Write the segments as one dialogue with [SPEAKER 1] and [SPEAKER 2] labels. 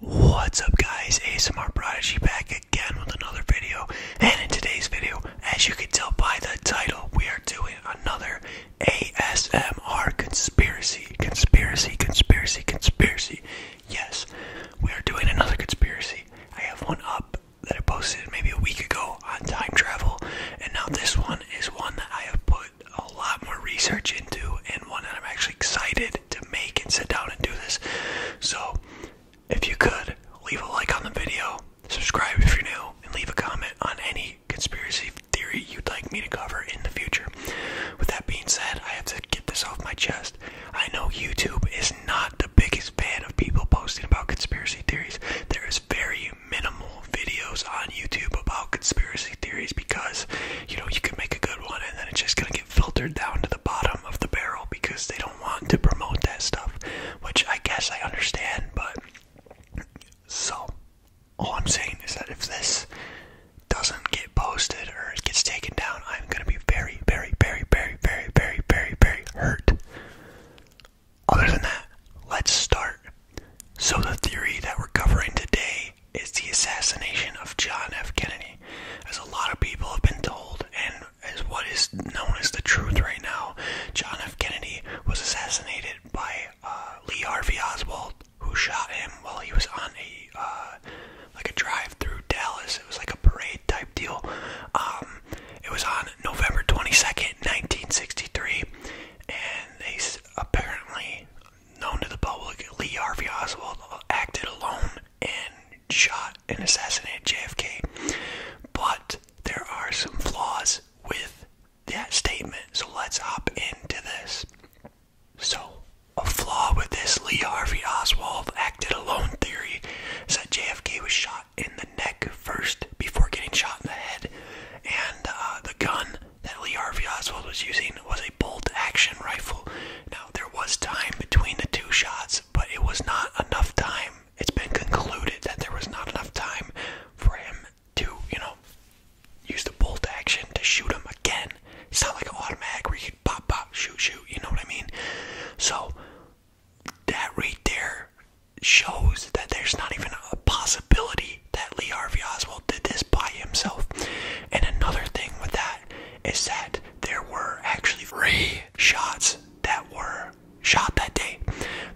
[SPEAKER 1] What's up guys, ASMR Prodigy back again with another video, and in today's video, as you can tell by the title, we are doing another ASMR conspiracy, conspiracy, conspiracy, conspiracy. Yes, we are doing another conspiracy. I have one up that I posted maybe a week ago on time travel, and now this one is one that I have put a lot more research into and one that I'm actually excited to make and sit down and do this. So, if you could, leave a like on the video, subscribe if you're new, and leave a comment on any conspiracy theory you'd like me to cover in the future. With that being said, I have to get this off my chest. I know YouTube is not the biggest fan of people posting about conspiracy theories. There is very minimal videos on YouTube about conspiracy theories because you know you can make a good one and then it's just gonna get filtered down to the bottom of the barrel because they don't want to promote that stuff which i guess i understand but so all i'm saying is that if this doesn't get posted or it gets taken down i'm gonna be very very very very very very very very hurt other than that let's start so the theory that we're covering today is the assassination of John F. Kennedy. As a lot of people have been told, and as what is known as the truth right now, John F. Kennedy was assassinated by uh, Lee Harvey Oswald, who shot him while he was on a uh, like a drive through Dallas. It was like a parade type deal. Um, it was on November 22nd, 1963, and he's apparently known to the public, Lee Harvey Oswald acted alone and shot and assassinated JFK. But there are some flaws with that statement, so let's hop into this. So, a flaw with this Lee Harvey Oswald acted alone theory is that JFK was shot in the neck first before getting shot in the head, and uh, the gun that Lee Harvey Oswald was using was a bolt action rifle. Now, there was time between the two shots, but it was not enough time. It's been concluded that there was not enough time for him to, you know, use the bolt action to shoot him again. It's not like an automatic where you could pop, pop, shoot, shoot, you know what I mean? So, that right there shows that there's not even a possibility that Lee Harvey Oswald did this by himself. And another thing with that is that there were actually three shots that were shot that day.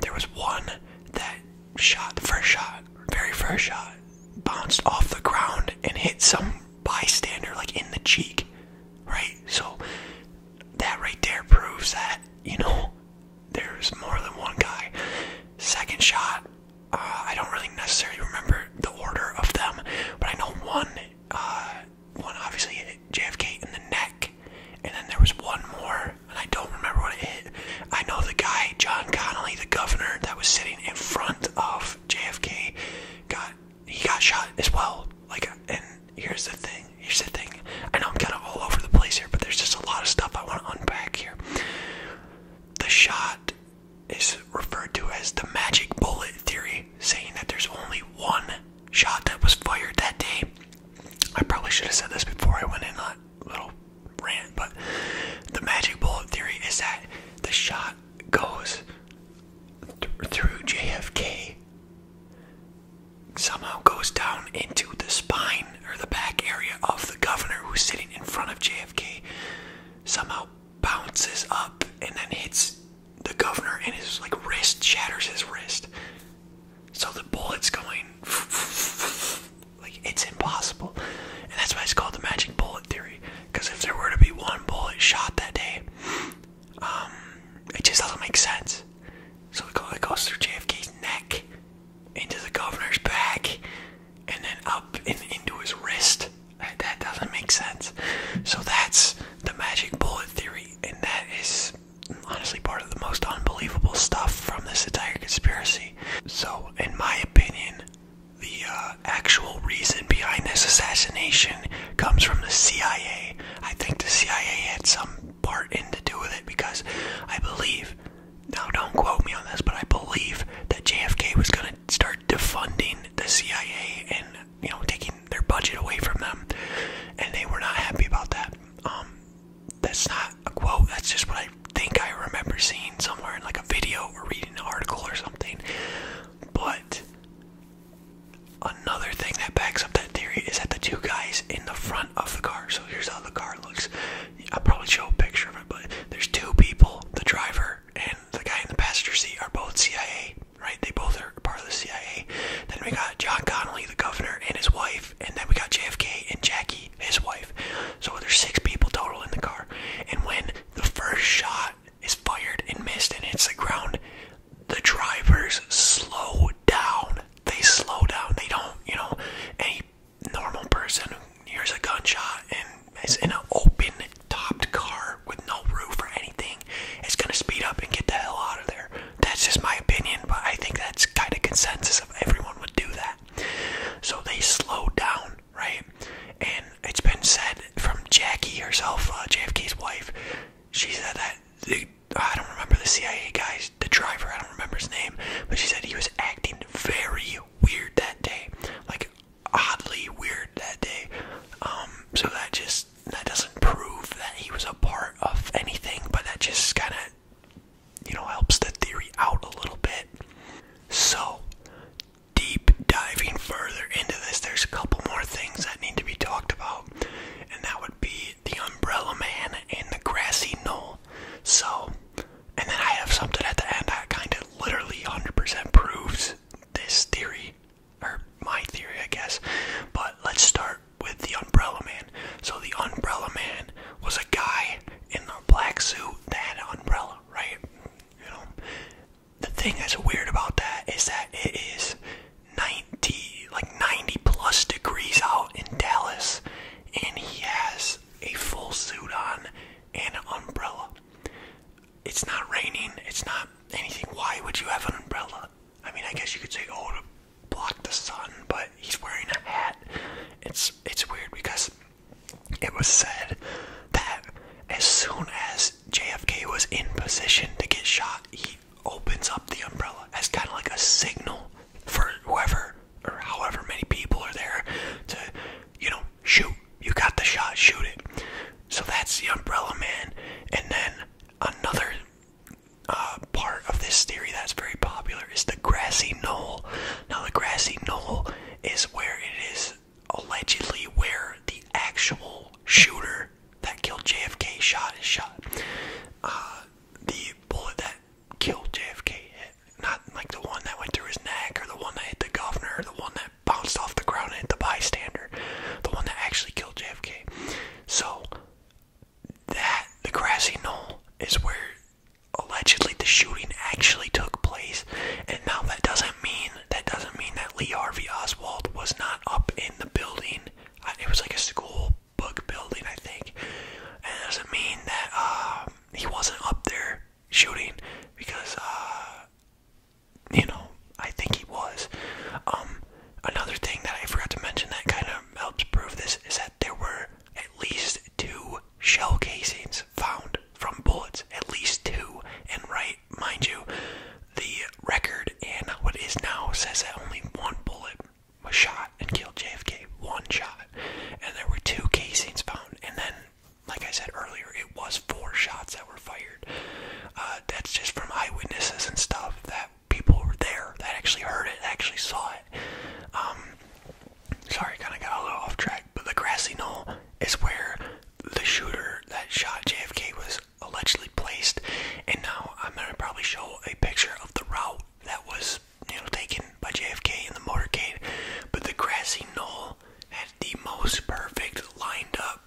[SPEAKER 1] There was one that shot, the first shot, very first shot, bounced off the ground and hit some bystander like in the cheek, right? So that right there proves that, you know, there's more than one guy. Second shot uh, I don't really necessarily remember the order of them, but I know one, uh, one obviously hit JFK in the neck, and then there was one more, and I don't remember what it hit. I know the guy, John Connolly, the governor that was sitting in front of JFK, got he got shot as well. Like, and here's the thing. Here's the thing. I know I'm kind of all over the place here, but there's just a lot of stuff I want to unpack here. The shot is referred to as the magic bullet theory, saying that there's only one shot that was fired that day. I probably should have said this before I went in that little rant, but the magic bullet theory is that the shot goes through JFK, somehow goes down into the spine or the back area of the governor who's sitting in front of JFK, somehow bounces up and then hits the governor and his like wrist shatters his wrist. So the bullet's going like it's impossible. And that's why it's called the magic bullet theory. Because if there were to be one bullet shot that day, um, it just doesn't make sense. So it goes through JFK's neck, into the governor's back, and then up and into his wrist. That doesn't make sense. So that's the magic bullet theory, and that is honestly part of the most unbelievable stuff from this entire conspiracy. So, in my opinion, the uh, actual reason behind this assassination comes from the CIA. I think the CIA had some part in to do with it because I believe, now don't quote me on this, but I believe that JFK was going to start defunding the CIA and you know taking their budget away from them, and they were not happy about that. Um, that's not a quote. That's just what I think I remember seeing somewhere in like a video or reading an article or something. But another thing that backs up that theory is that the two guys in the front of the car. So here's how the car looks. I'll probably show a picture of it, but there's two people, the driver and the guy in the passenger seat are both CIA, right? They both are part of the CIA. Then we got John Connolly, the governor, and his wife, and then we got JFK and Jackie, his wife. So there's six people total in the car. And when the first shot is fired and missed and hits the ground, the drivers slow down. They slow down. They don't, you know, any normal person hears a gunshot and is in an open topped car with no roof or anything It's gonna speed up and get the hell out of there. That's just my opinion, but I think that's kind of consensus of everyone would do that. So they slowed down, right? And it's been said from Jackie herself, uh, JFK's wife. She said that I don't remember the CIA guy's the driver. I don't remember his name, but she said he was acting very weird that day, like oddly weird that day. Um, so that just that doesn't prove that he was a part of anything, but that just kind of you know helps the theory out a little bit. So deep diving further into this, there's a couple more things that need to be talked about, and that would be the Umbrella Man and the grassy knoll. So and then I have something at the end that kind of literally 100% proves this theory, or my theory, I guess. But let's start with the Umbrella Man. So, the Umbrella Man was a guy in a black suit that had an umbrella, right? You know, the thing that's weird about that is that it is 90, like 90 plus degrees out in Dallas, and he has a full suit on and an umbrella. It's not raining, it's not anything. Why would you have an umbrella? I mean, I guess you could say, oh, to block the sun, but he's wearing a hat. It's it's weird because it was said that as soon as JFK was in position to get shot, he opens up the umbrella as kind of like a signal for whoever or however many people are there to, you know, shoot. You got the shot, shoot it. So that's the Umbrella Man. And then another uh, part of this theory that's very popular is the grassy knoll. Now, the grassy knoll is where it is allegedly where the actual shooter that killed JFK shot is shot. Uh, the bullet that killed JFK hit not like the one that went through his neck or the one that hit the governor or the one that bounced off the ground and hit the bystander, the one that actually killed JFK. So that the grassy knoll is where allegedly the shooting actually took place. And now that doesn't mean that doesn't mean that Lee Harvey Oswald was not up in the building. It was like a school book building, I think. And it doesn't mean that uh, he wasn't up there shooting because uh you know I think he was. Um another thing that I forgot to mention that kind of helps prove this is that there were at least two shell casings found from bullets, at least two. And right, mind you, the record and what is now says that only one bullet was shot and killed JFK. One shot. And there were two casings found. And then like I said earlier, it was four shots that were fired. Uh, that's just from eyewitnesses and stuff that people were there that actually heard it, actually saw it. Um, sorry, kind of got a little off track, but the grassy knoll is where the shooter that shot JFK was allegedly placed, and now I'm gonna probably show a picture of the route that was you know taken by JFK in the motorcade, but the grassy knoll had the most perfect lined up,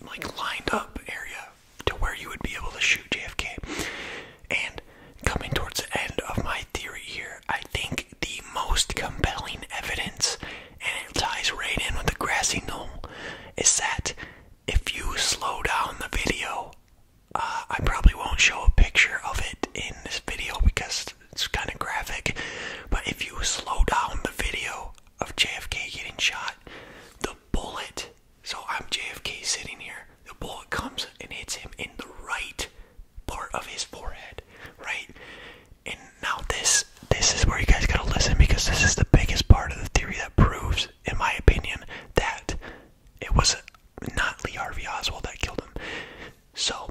[SPEAKER 1] like lined up area to where you would be able to shoot JFK. And coming towards the end of my theory here, I think the most compelling evidence, and it ties right in with the grassy knoll, is that if you slow down the video uh, I probably won't show a picture of it in this video because it's kind of graphic. But if you slow down the video of JFK getting shot, the bullet, so I'm JFK sitting here, the bullet comes and hits him in the right part of his forehead, right? And now this this is where you guys gotta listen because this is the biggest part of the theory that proves, in my opinion, that it was not Lee Harvey Oswald that killed him. So,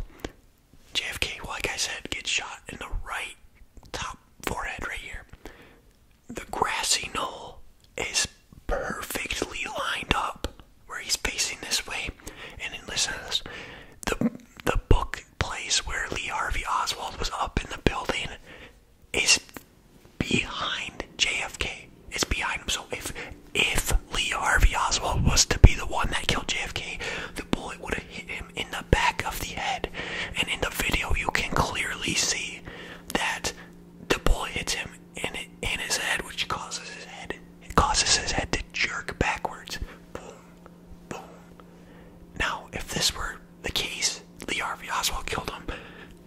[SPEAKER 1] JFK, like I said, gets shot in the right top forehead right here. The grassy knoll is perfectly lined up where he's facing this way. And listen to this. The, the book place where Lee Harvey Oswald was up in the building is behind JFK. It's behind him. So if if Lee Harvey Oswald was to be the one that killed JFK, the bullet would have hit him in the back of the head. And in the video, you can clearly see that the bullet hits him in in his head, which causes his head causes his head to jerk backwards. Boom, boom. Now, if this were the case, Lee Harvey Oswald killed him,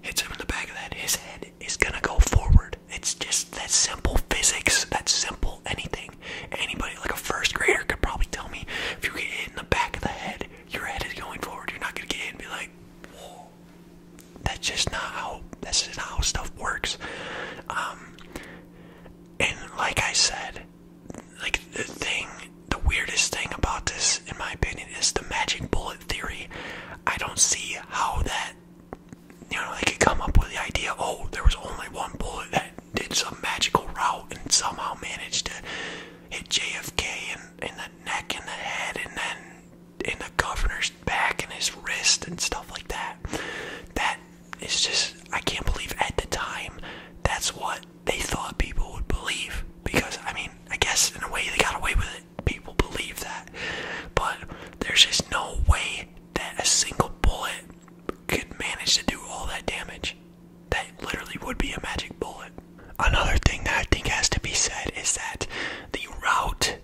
[SPEAKER 1] hits him in the back of the head. His head is gonna go forward. It's just that simple physics, that simple anything. Anybody, like a first grader, could probably tell me if you get hit in the back of the head, your head is going forward. You're not gonna get hit and be like, whoa. That's just not how. This is not how stuff works. Um, and like I said, like the thing, the weirdest thing about this, in my opinion, is the magic bullet theory. I don't see how that you know, they could come up with the idea, oh, there was only one bullet that did some magical route and somehow managed to hit JFK in, the neck and the head and then in the governor's back and his wrist and stuff like that. That is just, I can't believe at the time that's what they thought people would believe. Because, I mean, I guess in a way they got away with it. People believe that. But there's just no way that a single bullet could manage to do all that damage. That literally would be a magic bullet. Another thing that I think has to be said is that the route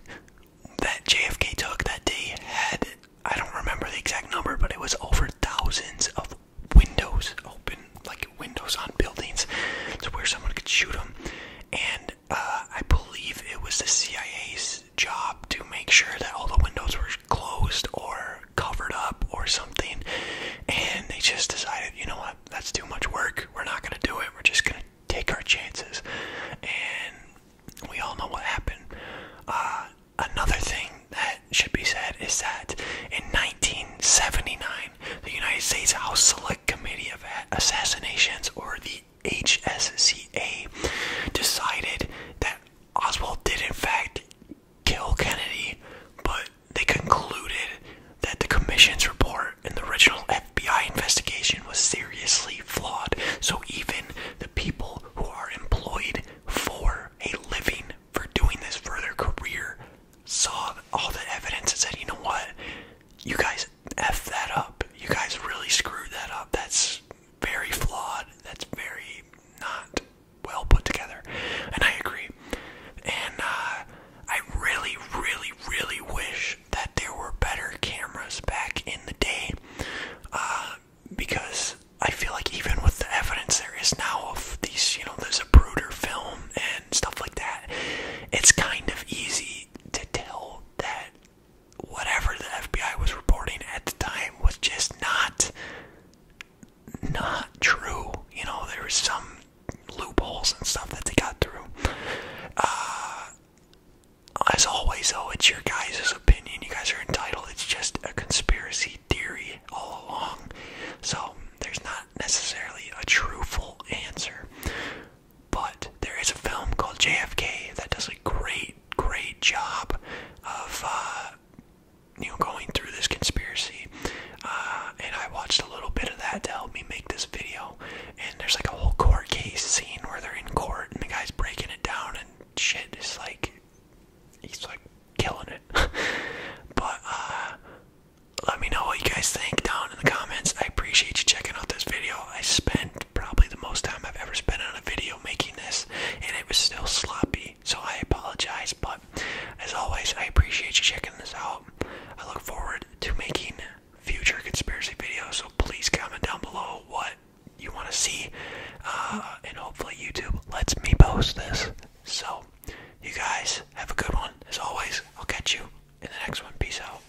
[SPEAKER 1] that JFK took that day had, I don't remember the exact number, but it was over thousands of windows open, like windows on buildings, to where someone could shoot him. And uh, I believe it was the CIA's job to make sure that all the windows were closed or covered up or something. And they just decided, you know what, that's too much work. We're not going to do it. We're just going to take our chances. And we all know what happened. Uh, another thing that should be said is that in 1979, the United States House Select Committee of Assassinations, or the HSCA decided that Oswald did, in fact, kill Kennedy, but they concluded that the commission's report and the original FBI investigation was seriously flawed. So even the people who are employed for a living for doing this for their career saw all the evidence and said, you know what? You guys F that up. You guys really screwed that up. That's very flawed. That's very not well put together. And I agree. And uh, I really, really, really wish that there were better cameras back in the day. Uh, because I feel like even with the evidence there is now of these, you know, there's a Bruder film and stuff like that, it's kind of easy to tell that whatever the FBI was reporting at the time was just not not true. You know, there was some loopholes and stuff that they got through. Uh, as always, though, it's your guys' opinion. You guys are entitled. It's just a conspiracy theory all along. So there's not necessarily a truthful answer. But there is a film called JFK that does a great, great job of uh, you know going through this conspiracy. Uh, and I watched a little bit of that to help me make this video. And there's like a whole court case scene where they're in court and the guy's breaking it down and shit. It's like he's like killing it. but uh, let me know what you guys think don't in the comments. I appreciate you checking out this video. I spent probably the most time I've ever spent on a video making this, and it was still sloppy, so I apologize. But as always, I appreciate you checking this out. I look forward to making future conspiracy videos, so please comment down below what you want to see, uh, and hopefully, YouTube lets me post this. So, you guys have a good one. As always, I'll catch you in the next one. Peace out.